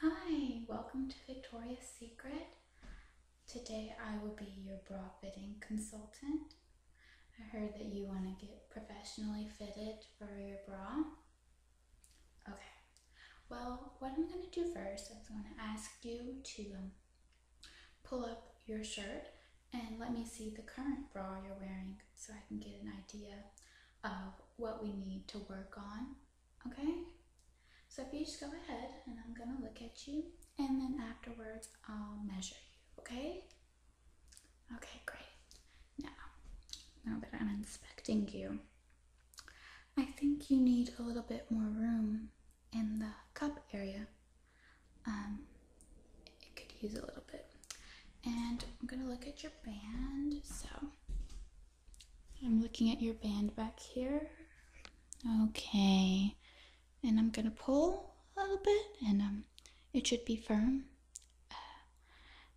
Hi, welcome to Victoria's Secret. Today I will be your bra fitting consultant. I heard that you want to get professionally fitted for your bra. Okay, well, what I'm going to do first is I'm going to ask you to um, pull up your shirt and let me see the current bra you're wearing so I can get an idea of what we need to work on, okay? So if you just go ahead and I'm gonna look at you and then afterwards I'll measure you, okay? Okay, great. Now, now that I'm inspecting you, I think you need a little bit more room in the cup area. Um, it could use a little bit. And I'm gonna look at your band, so I'm looking at your band back here. Okay. And I'm going to pull a little bit and um it should be firm. Uh,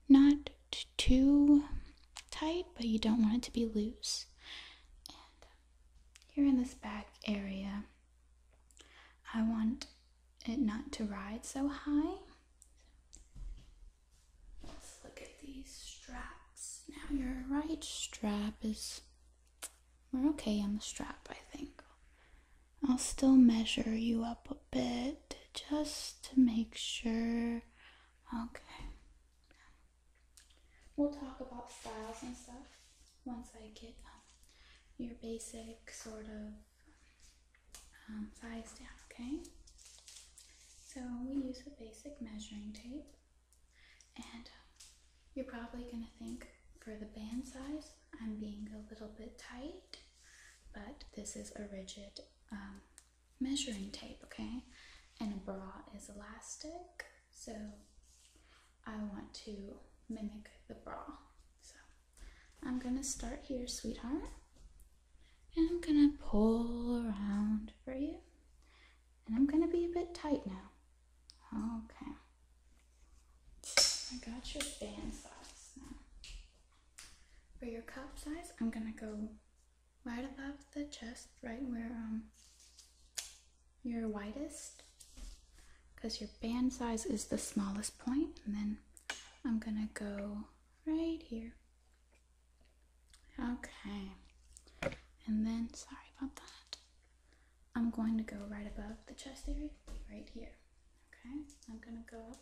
not too tight, but you don't want it to be loose. And um, here in this back area, I want it not to ride so high. Let's look at these straps. Now your right strap is we're okay on the strap, I think. I'll still measure you up a bit just to make sure. Okay. We'll talk about styles and stuff once I get um, your basic sort of um, size down, okay? So we use a basic measuring tape, and um, you're probably going to think for the band size, I'm being a little bit tight, but this is a rigid um, measuring tape, okay? And a bra is elastic, so I want to mimic the bra. So I'm gonna start here, sweetheart. I'm gonna pull around for you. And I'm gonna be a bit tight now. Okay. I got your band size now. For your cup size, I'm gonna go right above the chest, right where um your widest. Because your band size is the smallest point, and then I'm gonna go right here. Okay. And then, sorry about that. I'm going to go right above the chest area, right here. Okay, I'm gonna go up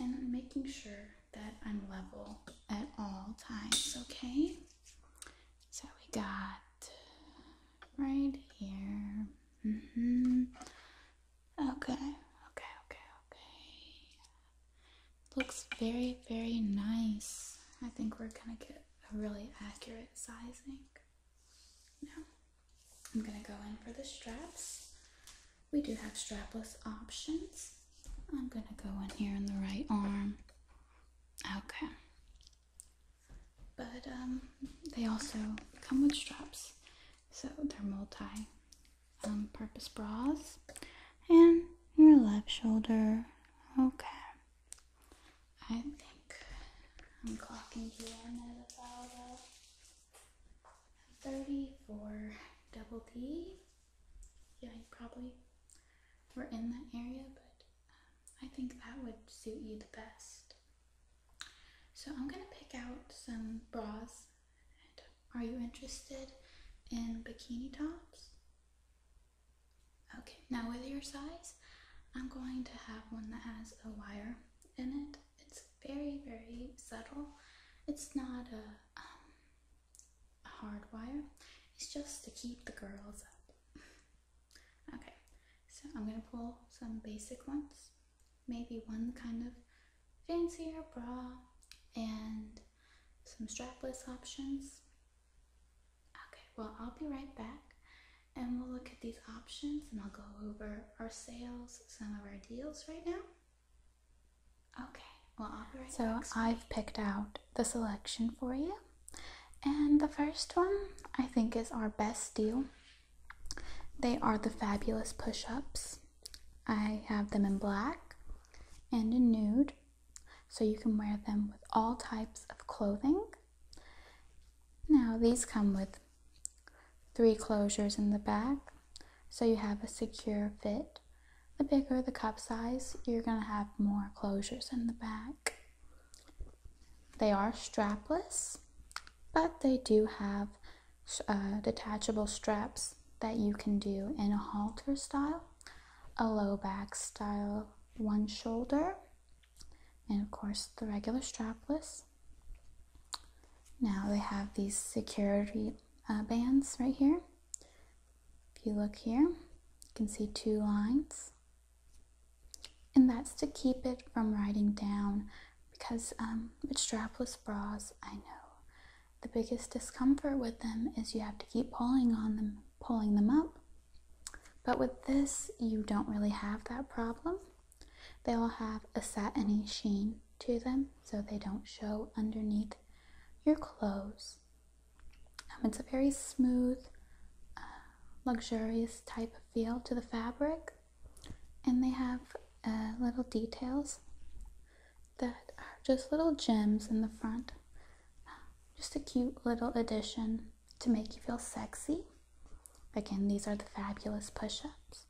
and I'm making sure that I'm level at all times, okay? So we got right here. Mm-hmm. Okay, okay, okay, okay. Looks very, very nice. I think we're gonna get a really accurate sizing. Now, I'm gonna go in for the straps. We do have strapless options. I'm gonna go in here in the right arm. Okay. But um, they also come with straps, so they're multi um, purpose bras and your left shoulder. Okay. I think I'm clocking you in at about a 34 double D. Yeah, probably we're in that area, but um, I think that would suit you the best. So I'm going to pick out some bras are you interested in bikini tops? Okay, now with your size, I'm going to have one that has a wire in it. It's very, very subtle. It's not a um, hard wire. It's just to keep the girls up. okay, so I'm going to pull some basic ones maybe one kind of fancier bra and some strapless options. Okay, well, I'll be right back and we'll look at these options and I'll go over our sales, some of our deals right now. Okay, well, I'll be right so I've picked out the selection for you. And the first one I think is our best deal. They are the fabulous push ups. I have them in black and in nude, so you can wear them with all types of clothing. Now, these come with three closures in the back, so you have a secure fit. The bigger the cup size, you're going to have more closures in the back. They are strapless, but they do have uh, detachable straps that you can do in a halter style, a low back style, one shoulder, and of course the regular strapless. Now they have these security uh, bands right here. If you look here, you can see two lines. And that's to keep it from riding down because um, with strapless bras, I know the biggest discomfort with them is you have to keep pulling on them, pulling them up. But with this, you don't really have that problem. They will have a satiny sheen to them so they don't show underneath your clothes. Um, it's a very smooth, uh, luxurious type of feel to the fabric, and they have uh, little details that are just little gems in the front. Just a cute little addition to make you feel sexy. Again, these are the fabulous push ups.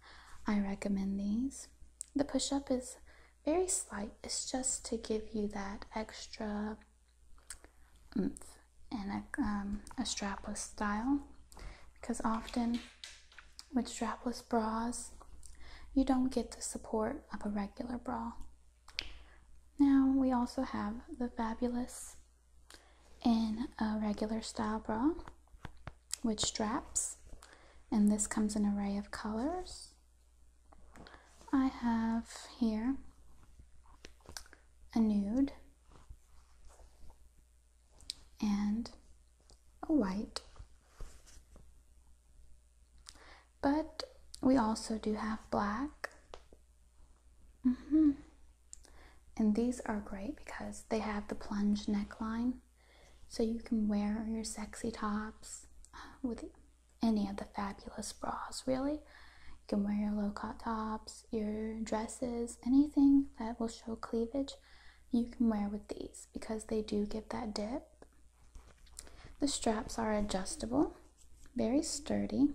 I recommend these. The push up is very slight, it's just to give you that extra oomph and a um, strapless style because often with strapless bras, you don't get the support of a regular bra. Now we also have the Fabulous in a regular style bra with straps, and this comes in a array of colors. I have here a nude and a white. But we also do have black. -hmm. And these are great because they have the plunge neckline. So you can wear your sexy tops uh, with any of the fabulous bras, really. You can wear your low cut tops, your dresses, anything that will show cleavage you can wear with these because they do give that dip. The straps are adjustable, very sturdy,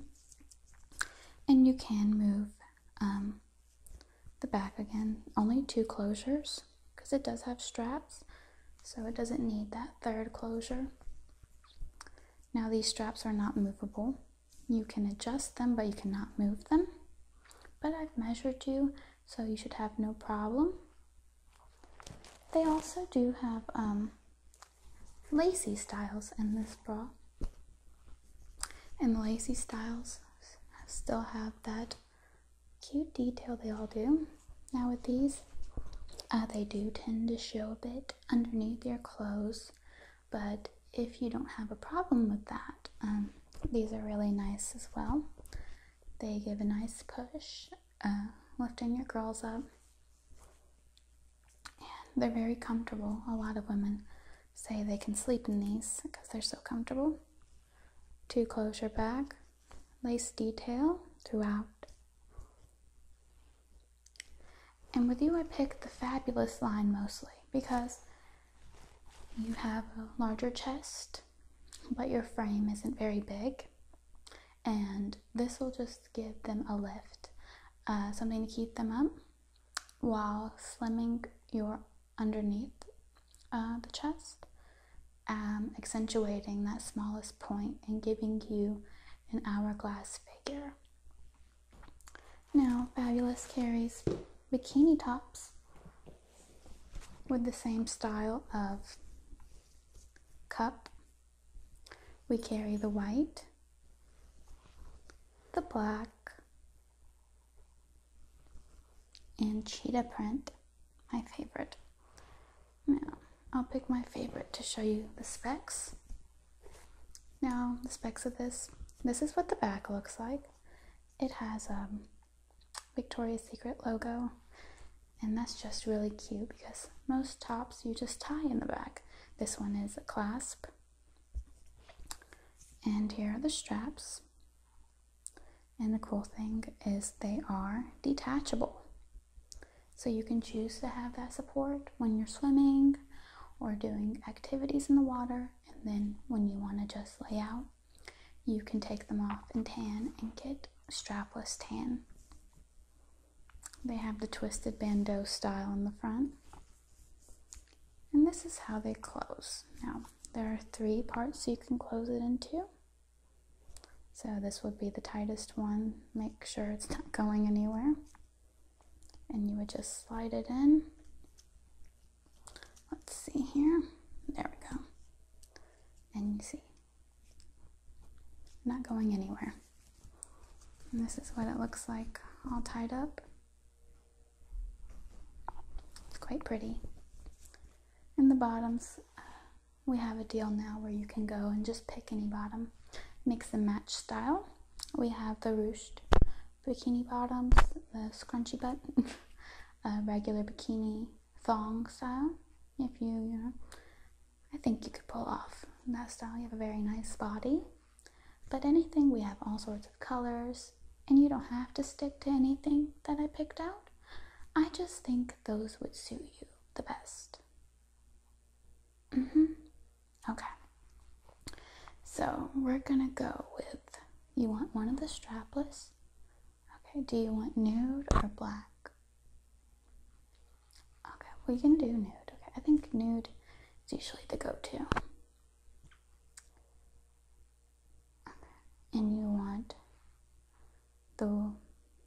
and you can move um, the back again. Only two closures because it does have straps, so it doesn't need that third closure. Now, these straps are not movable. You can adjust them, but you cannot move them. But I've measured you so you should have no problem. They also do have um, lacy styles in this bra, and the lacy styles still have that cute detail they all do. Now with these, uh, they do tend to show a bit underneath your clothes, but if you don't have a problem with that, um, these are really nice as well. They give a nice push, uh, lifting your girls up. they're very comfortable. A lot of women say they can sleep in these because they're so comfortable. Two closure back, lace detail throughout. And with you, I picked the fabulous line mostly because you have a larger chest, but your frame isn't very big, and this will just give them a lift, uh, something to keep them up while slimming your underneath uh, the chest, um, accentuating that smallest point and giving you an hourglass figure. Now, Fabulous carries bikini tops with the same style of cup, we carry the white, the black, and cheetah print, my favorite. Now, I'll pick my favorite to show you the specs. Now, the specs of this. This is what the back looks like. It has a. Um, Victoria's Secret logo. And that's just really cute because most tops you just tie in the back. This one is a clasp. And here are the straps. And the cool thing is they are detachable. So you can choose to have that support when you're swimming or doing activities in the water. And then when you want to just lay out you can take them off and tan and get strapless tan. They have the twisted bandeau style in the front. And this is how they close. Now, there are three parts so you can close it into. So this would be the tightest one. Make sure it's not going anywhere. And you would just slide it in Let's see here. There we go. And you see, not going anywhere. And this is what it looks like all tied up. It's quite pretty. In the bottoms, we have a deal now where you can go and just pick any bottom, mix and match style. We have the ruched bikini bottoms, the scrunchy butt. a regular bikini thong style. If you, you know, I think you could pull off that style. You have a very nice body. But anything, we have all sorts of colors, and you don't have to stick to anything that I picked out. I just think those would suit you the best. Mm-hmm. Okay. So we're gonna go with you want one of the strapless Okay, do you want nude or black? Okay, we can do nude. Okay, I think nude is usually the go to. Okay, and you want the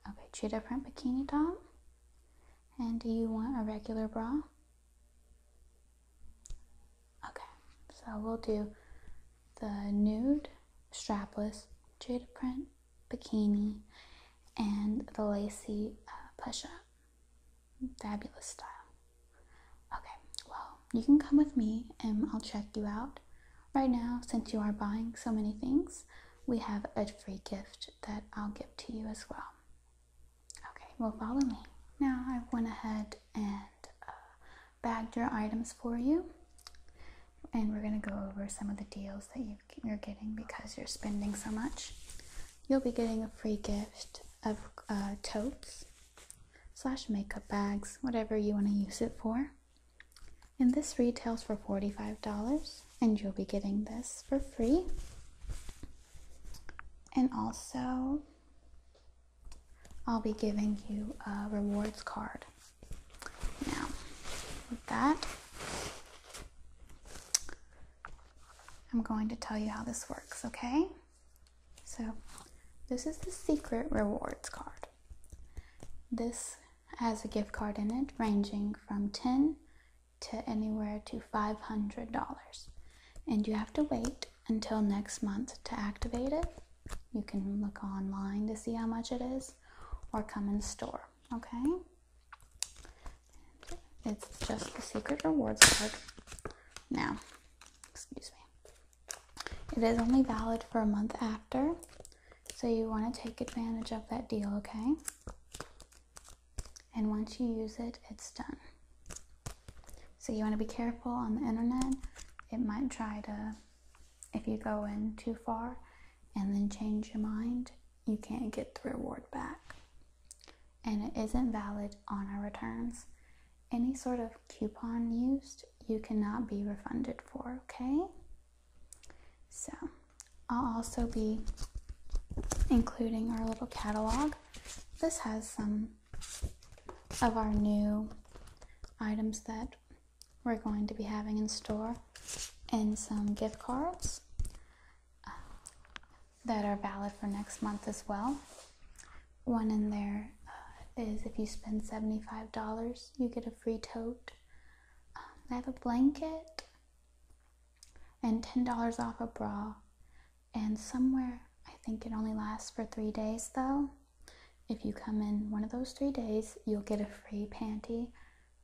okay, cheetah print bikini top. And do you want a regular bra? Okay, so we'll do the nude strapless jade print bikini and the lacy uh, push up. Fabulous style. Okay, well, you can come with me and I'll check you out. Right now, since you are buying so many things, we have a free gift that I'll give to you as well. Okay, well, follow me. Now, I went ahead and uh, bagged your items for you. And we're going to go over some of the deals that you, are getting because you're spending so much. You'll be getting a free gift of uh, totes slash makeup bags, whatever you want to use it for. And this retails for $45, and you'll be getting this for free. And also, I'll be giving you a rewards card. Now, with that, I'm going to tell you how this works, okay? So, this is the secret rewards card. This has a gift card in it ranging from 10 to anywhere to $500. And you have to wait until next month to activate it. You can look online to see how much it is or come in store, okay? It's just the secret rewards card. Now, excuse me. It is only valid for a month after, so you want to take advantage of that deal, okay? And once you use it, it's done. So you want to be careful on the internet. It might try to if you go in too far and then change your mind, you can't get the reward back. And it isn't valid on our returns. Any sort of coupon used, you cannot be refunded for, okay? So, I'll also be including our little catalog. This has some of our new items that we're going to be having in store and some gift cards uh, that are valid for next month as well. One in there uh, is if you spend $75, you get a free tote. Um, I have a blanket and $10 off a bra. And somewhere, I think it only lasts for three days though. If you come in one of those three days, you'll get a free panty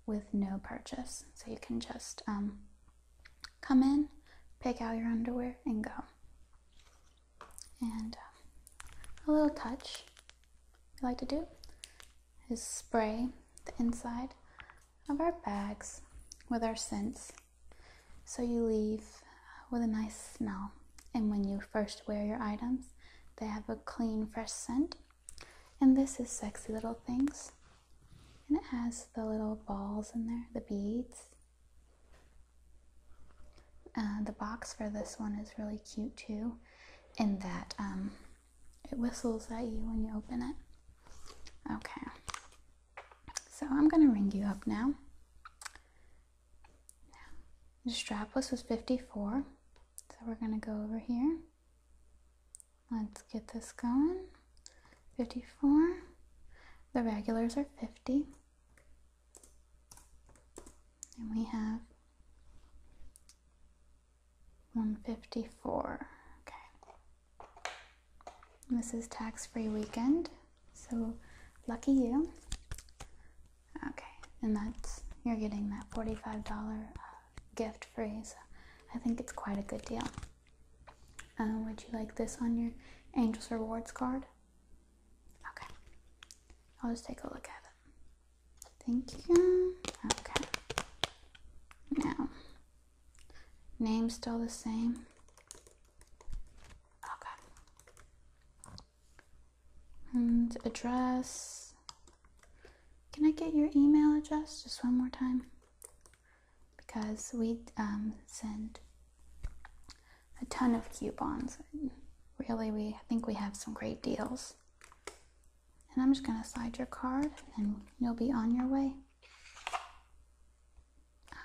with no purchase. So you can just um, come in, pick out your underwear, and go. And um, a little touch we like to do is spray the inside of our bags with our scents. So you leave with a nice smell. And when you first wear your items, they have a clean, fresh scent. And this is Sexy Little Things. And it has the little balls in there, the beads. Uh, the box for this one is really cute too, in that um, it whistles at you when you open it. Okay, so I'm gonna ring you up now the strapless was 54, so we're going to go over here. Let's get this going. 54. The regulars are 50. And we have 154. Okay. this is tax free weekend. So lucky you. Okay, and that's you're getting that $45 uh, gift free, so I think it's quite a good deal. Uh, would you like this on your Angels Rewards card? Okay, I'll just take a look at it. Thank you. Okay, now, name still the same. Okay and address. Can I get your email address just one more time? Because we um, send a ton of coupons. Really, we I think we have some great deals. And I'm just gonna slide your card, and you'll be on your way.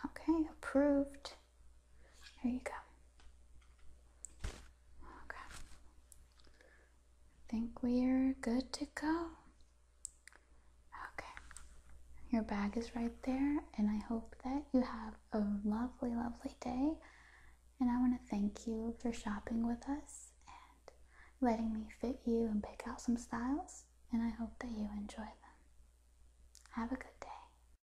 Okay, approved. Here you go. Okay. I think we're good to go. Okay. Your bag is right there, and I hope that you have a lovely, lovely day. And I want to thank you for shopping with us and letting me fit you and pick out some styles. And I hope that you enjoy them. Have a good day.